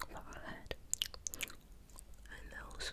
forehead, and nose.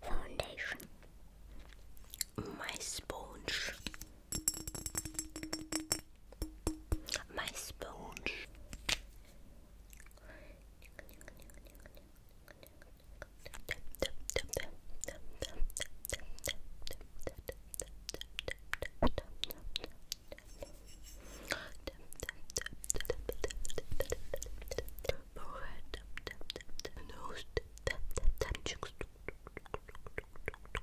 Foundation, my sponge, my sponge nose,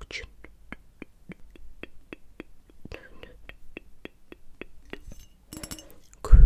chin, good.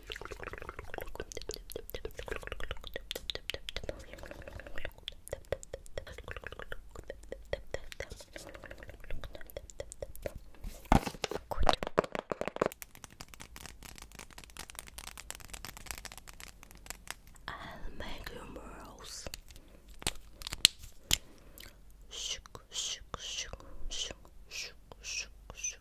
I'll make you morals. Shook, shook, shook, shook, shook, shook, shook,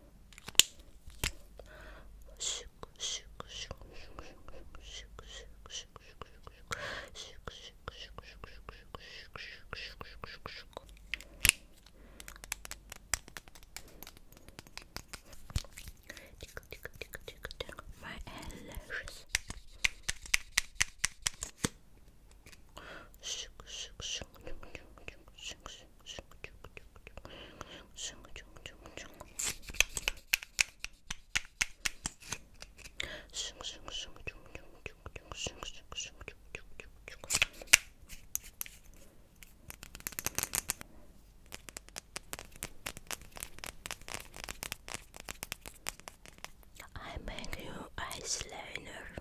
my eyelashes. I make you ice liner.